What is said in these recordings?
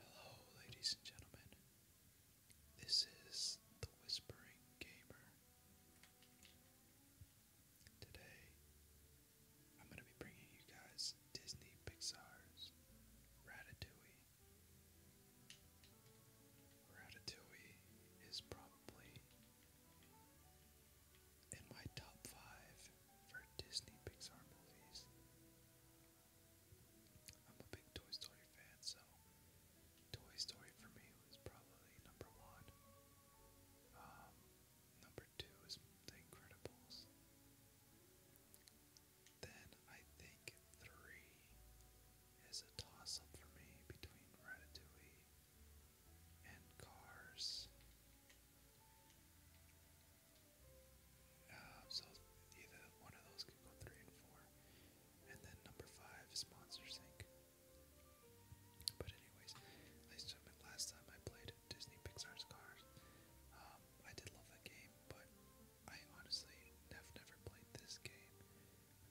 Hello, ladies and gentlemen. This is the Whispering Gamer. Today, I'm going to be bringing you guys Disney Pixar's Ratatouille. Ratatouille is probably in my top five for Disney Pixar movies. I'm a big Toy Story fan, so Toy Story for me was probably number one. Um, number two is The Incredibles. Then I think three is a toss up for me between Ratatouille and Cars so either one of those could go three and four. And then number five is Monster Inc. But anyways, at least last time I played Disney Pixar's Cars, um, I did love that game, but I honestly have never played this game.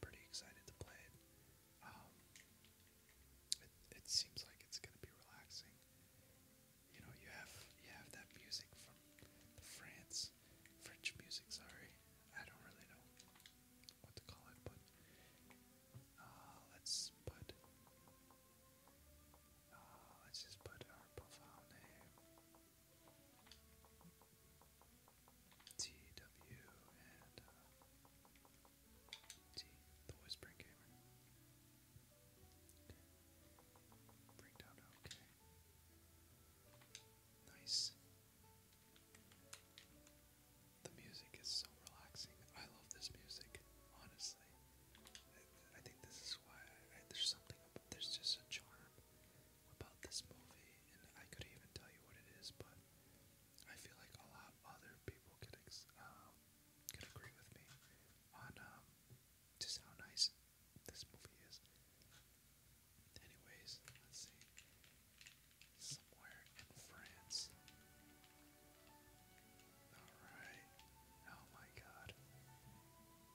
pretty excited to play it. Um, it, it seems like it's going to be relaxing. You know, you have you have that music from France, French music. Sorry, I don't really know what to call it, but uh, let's put uh, let's just put our profile name. TW and uh, See, the whispering camera. Bring down okay. Nice. The music is so relaxing. I love this music, honestly. I, think this is why there's something, there's just a charm about this movie, and I could even tell you what it is, but I feel like a lot other people could um, could agree with me on um, just how nice this movie is. Anyways, let's see. Somewhere in France. Alright. Oh my god.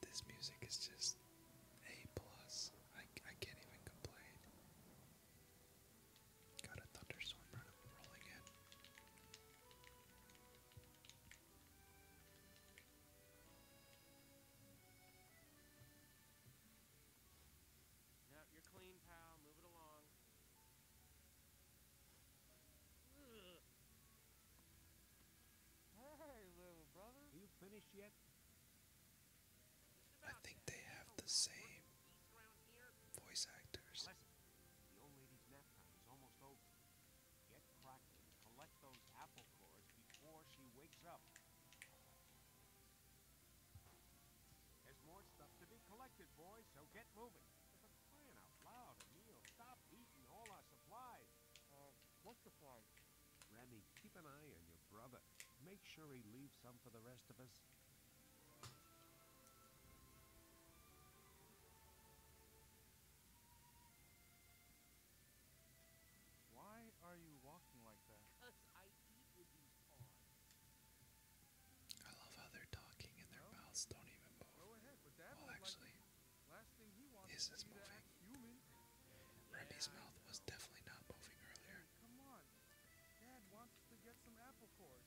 This music is just A plus. I, I can't even complain. Got a thunderstorm rolling in. No, you're clean, pal. Move it along. Hey, little brother. you finished yet? I think they have the same voice actors. Get cracking. Collect those apple cores before she wakes up. There's more stuff to be collected, boys, so get moving. stop eating all our uh, supplies? Remy, keep an eye on your brother. Make sure he leaves some for the rest of us. Why are you walking like that? I eat with these love how they're talking and their mouths don't even move. well, actually, is this moving? Remy's mouth was definitely not moving earlier. come on, Dad wants to get some apple cores.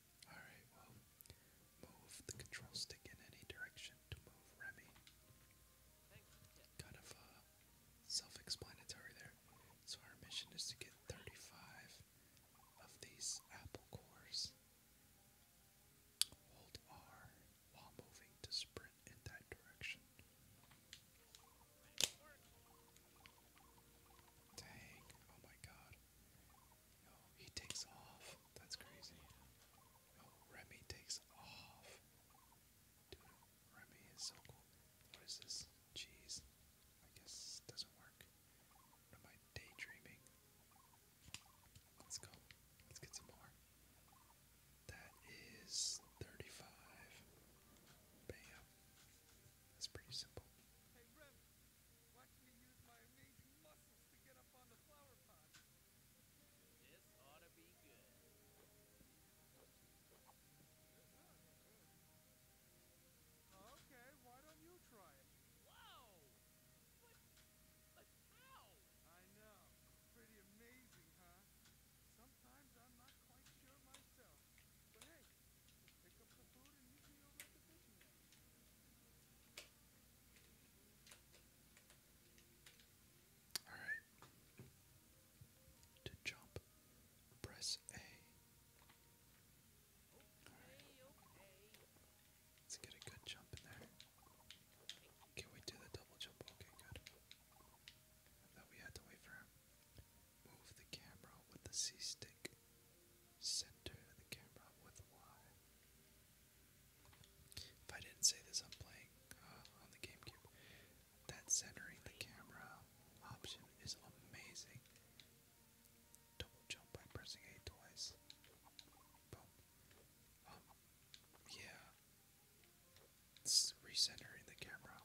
Alright, well, move the control stick in any direction to move Remy. Kind of uh, self explanatory there. So, our mission is to get 35 of these apple cores. Hold R while moving to sprint in that direction. Dang, oh my god. Oh, he takes off. That's crazy. Oh, Remy takes off. Dude, Remy is so cool. What is this? Cheese. I guess doesn't work. am I daydreaming? Let's go. Let's get some more. That is 35. Bam. That's pretty simple. Hey, Remy, Watch Okay, why don't you try it? Whoa! But, but how? I know. Pretty amazing, huh? Sometimes I'm not quite sure myself. But hey, all right. To jump, press A. right. Let's get a good jump in there. Can we do the double jump? Okay, good. thought we had to wait for him. Move the camera with the C stick center the camera with Y. If I didn't say this, I'm playing uh, on the GameCube. That centering the camera option is amazing. Double jump by pressing A twice. Boom. Um, yeah. It's the camera.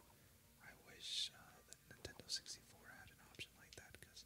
I wish uh, the Nintendo 64 had an option like that because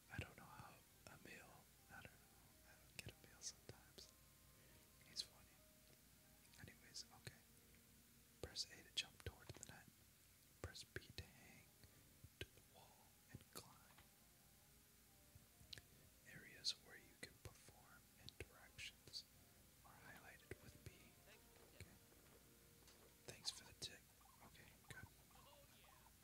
I don't know how a meal. I don't know. I don't get a meal sometimes. He's funny. Anyways, okay. Press A to jump toward the net. Press B to hang to the wall and climb. Areas where you can perform interactions are highlighted with B. Okay. Thanks for the tip. Okay, good.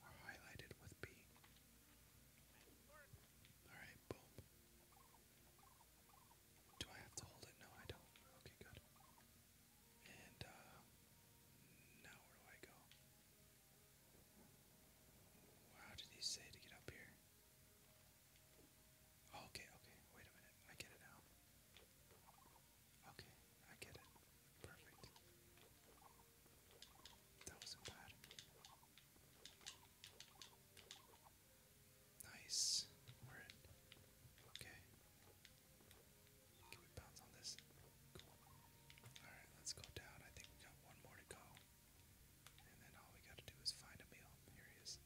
are highlighted with B. Alright, boom. Do I have to hold it? No, I don't. Okay, good. And, uh, now where do I go? How did he say to get up here? Oh, okay, okay, wait a minute. I get it now. Okay, I get it. Perfect. That wasn't bad. Nice. We're in. Okay. Can we bounce on this? Cool. Alright, let's go down. I think we got one more to go. And then all we gotta do is find a meal. Here he is.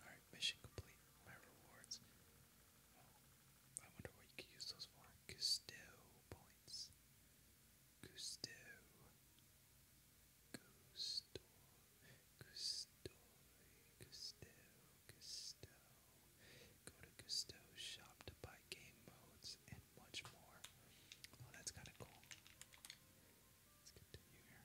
Alright, mission complete. My rewards. I wonder what you could use those for. Gusto points. Gusto. Gusto. Gusto. Gusto. Gusto. Go to Gusto shop to buy game modes and much more. Oh, that's kind of cool. Let's continue here.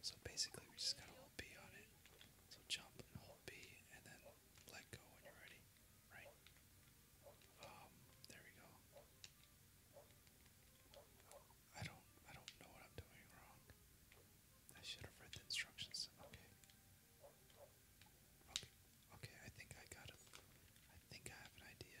So basically, we just gotta hold B on it. So jump and hold B, and then let go when you're ready. Right? Um, there we go. I don't, I don't know what I'm doing wrong. I should have read the instructions. Okay. Okay. Okay. I think I got it. I think I have an idea.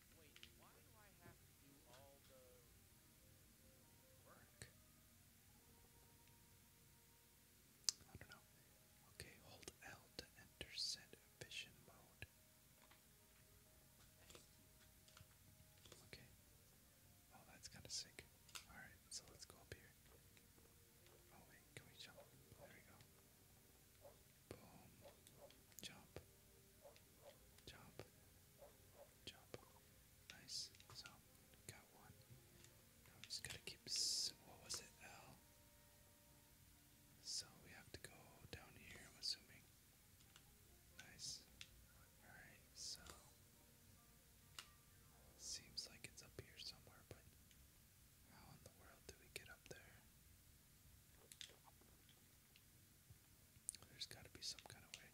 I don't know. Okay, hold L to enter set vision mode. Okay. Oh, that's kind of sick. Alright, so let's go up here. Oh, wait, can we jump? There we go. Boom. Jump. Jump. Jump. Nice. So, one. Now we just gotta keep. what was it? L. So we have to go down here, I'm assuming. Nice. Alright, so. Seems like it's up here somewhere, but how in the world do we get up there? There's gotta be some kind of way.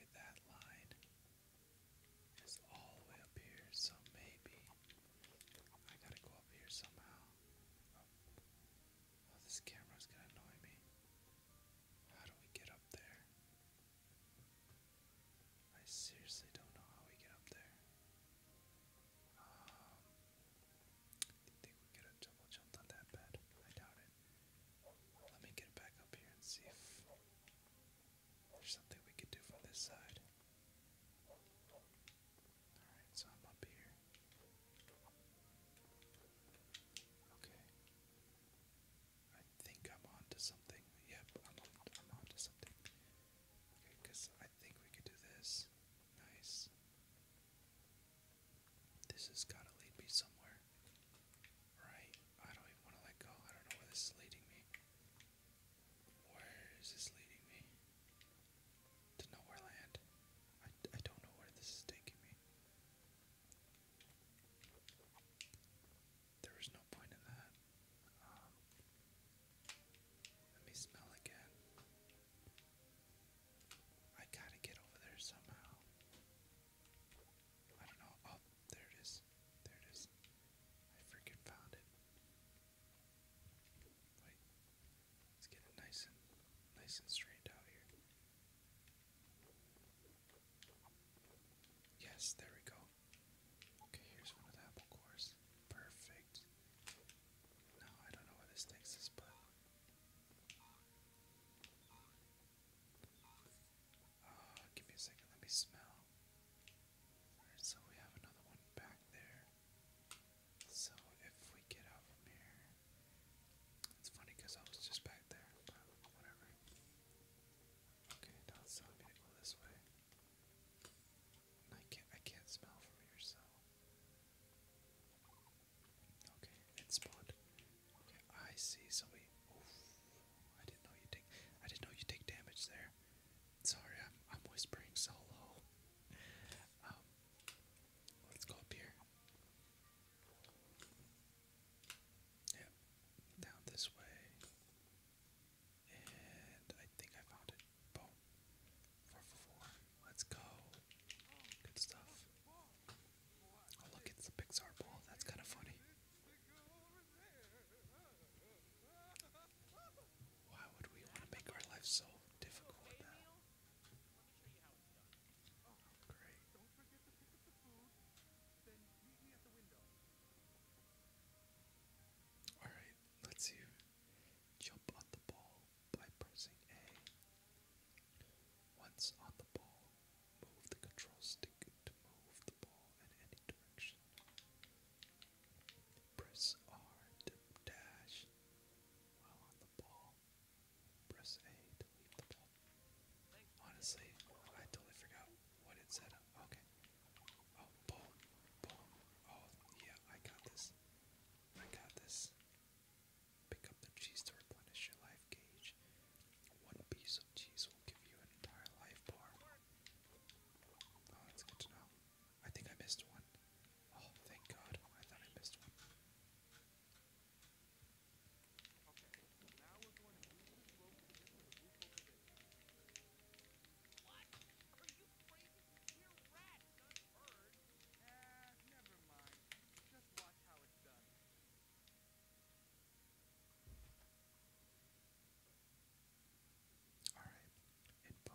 Get that line. It's all the way up here, so maybe I gotta go up here somehow. Oh, this camera's gonna annoy me. How do we get up there? I seriously don't know how we get up there. Um, do you think we could have double jumped on that bed? I doubt it. Let me get back up here and see if there's something we could do from this side. Alright, so I'm up here. Okay. I think I'm on something. Yep, I'm on, something because I think we could do this. Nice. This has got to lead me somewhere. Right? I don't even want to let go. I don't know where this is leading me. Where is this leading me? To nowhere land. I, I don't know where this is taking me. There no point in that. Um, let me smell again. I gotta get over there somehow. I don't know. Oh, there it is. There it is. I freaking found it. Wait. Let's get it nice and nice and straight out here. Yes, there we go. Okay, here's one of apple cores. Perfect. No, I don't know where this takes us, but. Uh, give me a second, let me smell. Alright, so we have another one back there. So if we get out from here. It's funny because I was just back there, but whatever. Okay, now it's telling me to go this way. I can't I can't smell from here, Okay, it spawned. Okay, I see, so we I didn't know you take I didn't know you take damage there. Sorry, I'm I'm whispering so low. Um let's go up here. Yep. Down this way. And I think I found it. Boom. Four let Let's go. Good stuff. Oh look, it's the Pixar ball. That's kind of funny. Why would we want to make our life so difficult Alright, let's see Jump on the ball by pressing A. Once on the ball, move the control stick to move the ball in any direction. Press R to dash while on the ball. Press A to leave the ball. Honestly, I totally forgot what it said Okay. Oh, boom, boom. Oh, yeah, I got this. I got this. Pick up the cheese to replenish your life gauge. One piece of cheese will give you an entire life bar. Oh, that's good to know. I think I missed one. Oh, thank God. I thought I missed one. What? Are you all right, info.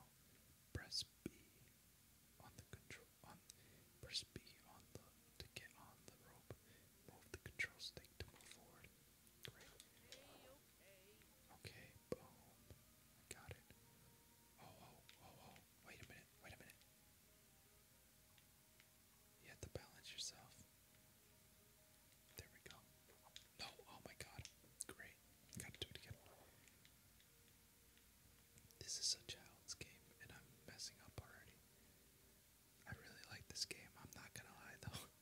Press B on the control Press B on the to get on the rope. Move the control stick to move forward. Great. Okay, boom. got it. Oh, oh, oh, oh. Wait a minute, wait a minute. You have to balance yourself. There we go. No, oh my god. great. Gotta do it again. This is a child's game, and I'm messing up already. I really like this game. I'm not gonna lie, though.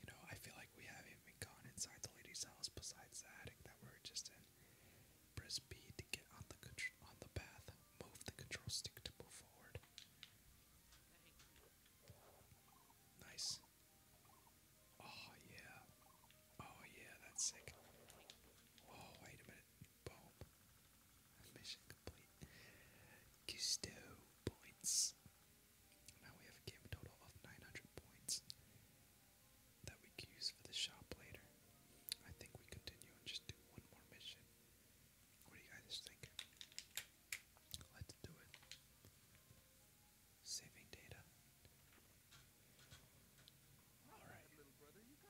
You know, I feel like we haven't even gone inside the lady's house besides the attic that we were just in. Press B to get on the on the path. Move the control stick to move forward. Nice. Oh yeah. Oh yeah, that's sick. Oh wait a minute. Bob. Mission complete. Gusto points. Now we have a game total of 900 points that we can use for the shop later. I think we continue and just do one more mission. What do you guys think? Let's do it. Saving data. All right.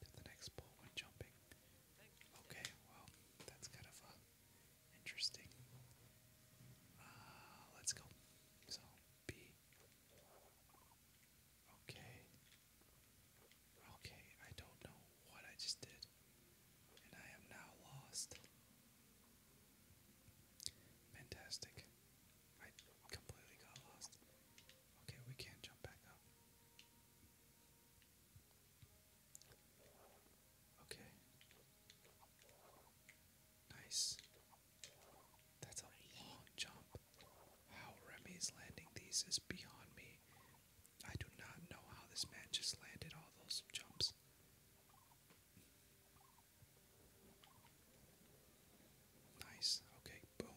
to the next pole when jumping. Okay, well, that's kind of uh, interesting. Uh, let's go. So, B. Okay. Okay, I don't know what I just did. And I am now lost. Fantastic. I completely got lost. Okay, we can't jump back up. Okay. Nice. That's a long jump. How Remy is landing these is beyond me. I do not know how this man just landed all those jumps. Nice. Okay, boom.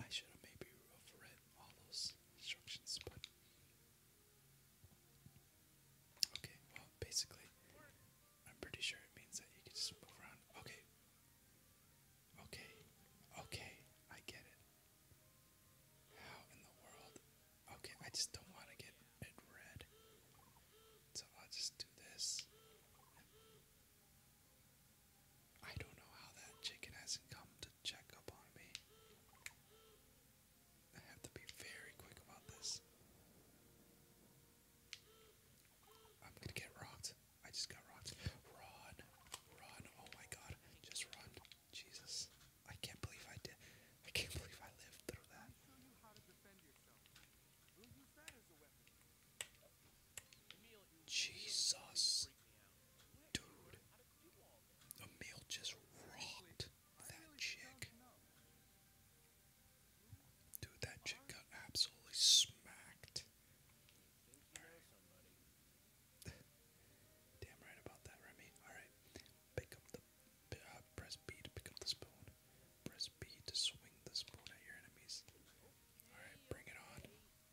I should have maybe read all those instructions, but okay. Well, basically, I'm pretty sure it means that you can just move around. Okay, okay, okay. I get it. How in the world? Okay, I just don't want to get it red, so I'll just do this. I don't know how that chicken hasn't come to check up on me. I have to be very quick about this. I'm gonna get rocked. I just got rocked. Run. Run. Oh my god. Just run. Jesus. I can't believe I did. I can't believe I lived through that. Jesus. Dude. Emil just rocked that chick. Dude, that chick got absolutely smacked. Damn right about that, Remy. Alright. Pick up the uh, press B pick up the spoon. Press B to swing the spoon at your enemies. Alright, bring it on.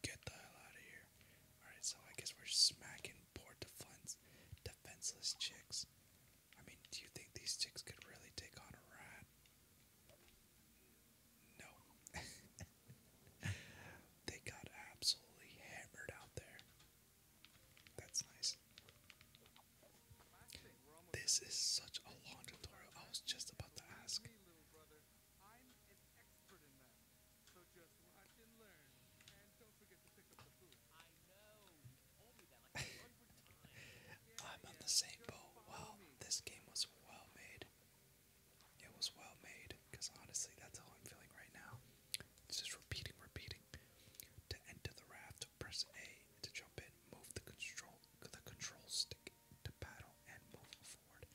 Get the hell out of here. Alright, so I guess we're smacking poor defense, defenseless chicks. I mean, do you think these chicks could really take on a rat? No. they got absolutely hammered out there. That's nice. This is such a long tutorial. I was just about to ask. I'm on the same boat. Wow, this game was well made. It was well made, because honestly, that's how I'm feeling right now. just repeating, repeating. To enter the raft, press A to jump in, move the control the control stick to paddle, and move forward.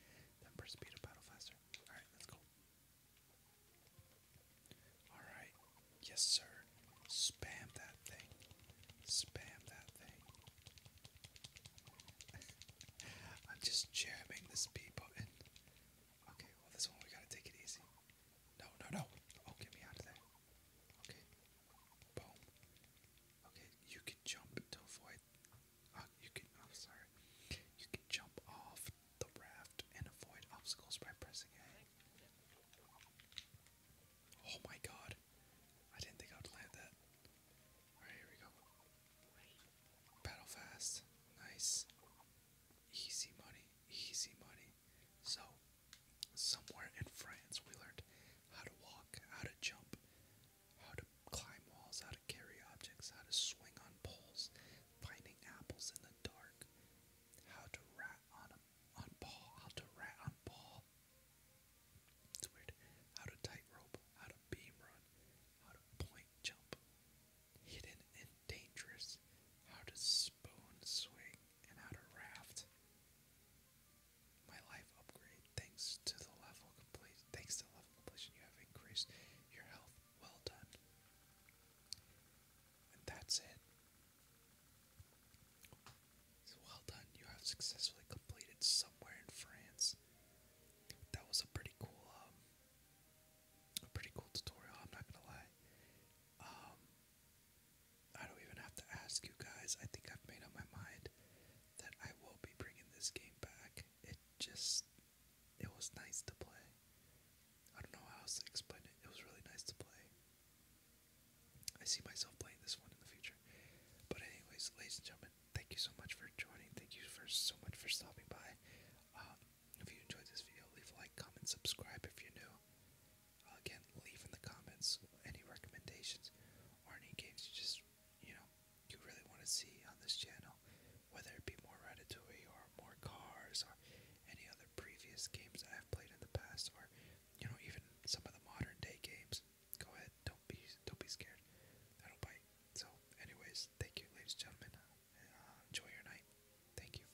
Then press B to paddle faster. Alright, let's go. Alright. Yes, sir. Spam that thing. Spam that thing. I'm just jamming this B button. Okay, well, this one we gotta take it easy. No, no, no. Oh, get me out of there. Okay, Okay, you can jump to avoid. Uh, you can. I'm oh, sorry. You can jump off the raft and avoid obstacles by pressing A. Oh my god. I didn't think I would land that. Alright, here we go. Battle fast. Nice. Easy money. Easy money. So, somewhere in France, we learned how to walk, how to jump, how to climb walls, how to carry objects, how to swing on poles, finding apples in the dark, how to rat on a on ball, how to rat on ball. It's weird. How to tightrope, how to beam run, how to point jump, hidden and dangerous, how to spoon swing, and how to raft my life upgrade thanks to the level complete thanks to the level completion you have increased your health well done and that's it well done you have successfully completed somewhere in France that was a pretty cool um, a pretty cool tutorial I'm not gonna lie um, I don't even have to ask you guys. I think I've made up my mind that I will be bringing this game back. It just, it was nice to play. I don't know how else to explain it. It was really nice to play. I see myself playing this one in the future. But anyways, ladies and gentlemen, thank you so much for joining. Thank you for so much for stopping by. Um, if you enjoyed this video, leave a like, comment, subscribe if you're new again, leave in the comments any recommendations or any games you just, you know, you really want to see on this channel, whether it be more Ratatouille or more Cars or any other previous games I've played in the past or, you know, even some of the modern day games. Go ahead, don't be, don't be scared. I do bite. So, anyways, thank you, ladies and gentlemen. Uh, enjoy your night. Thank you.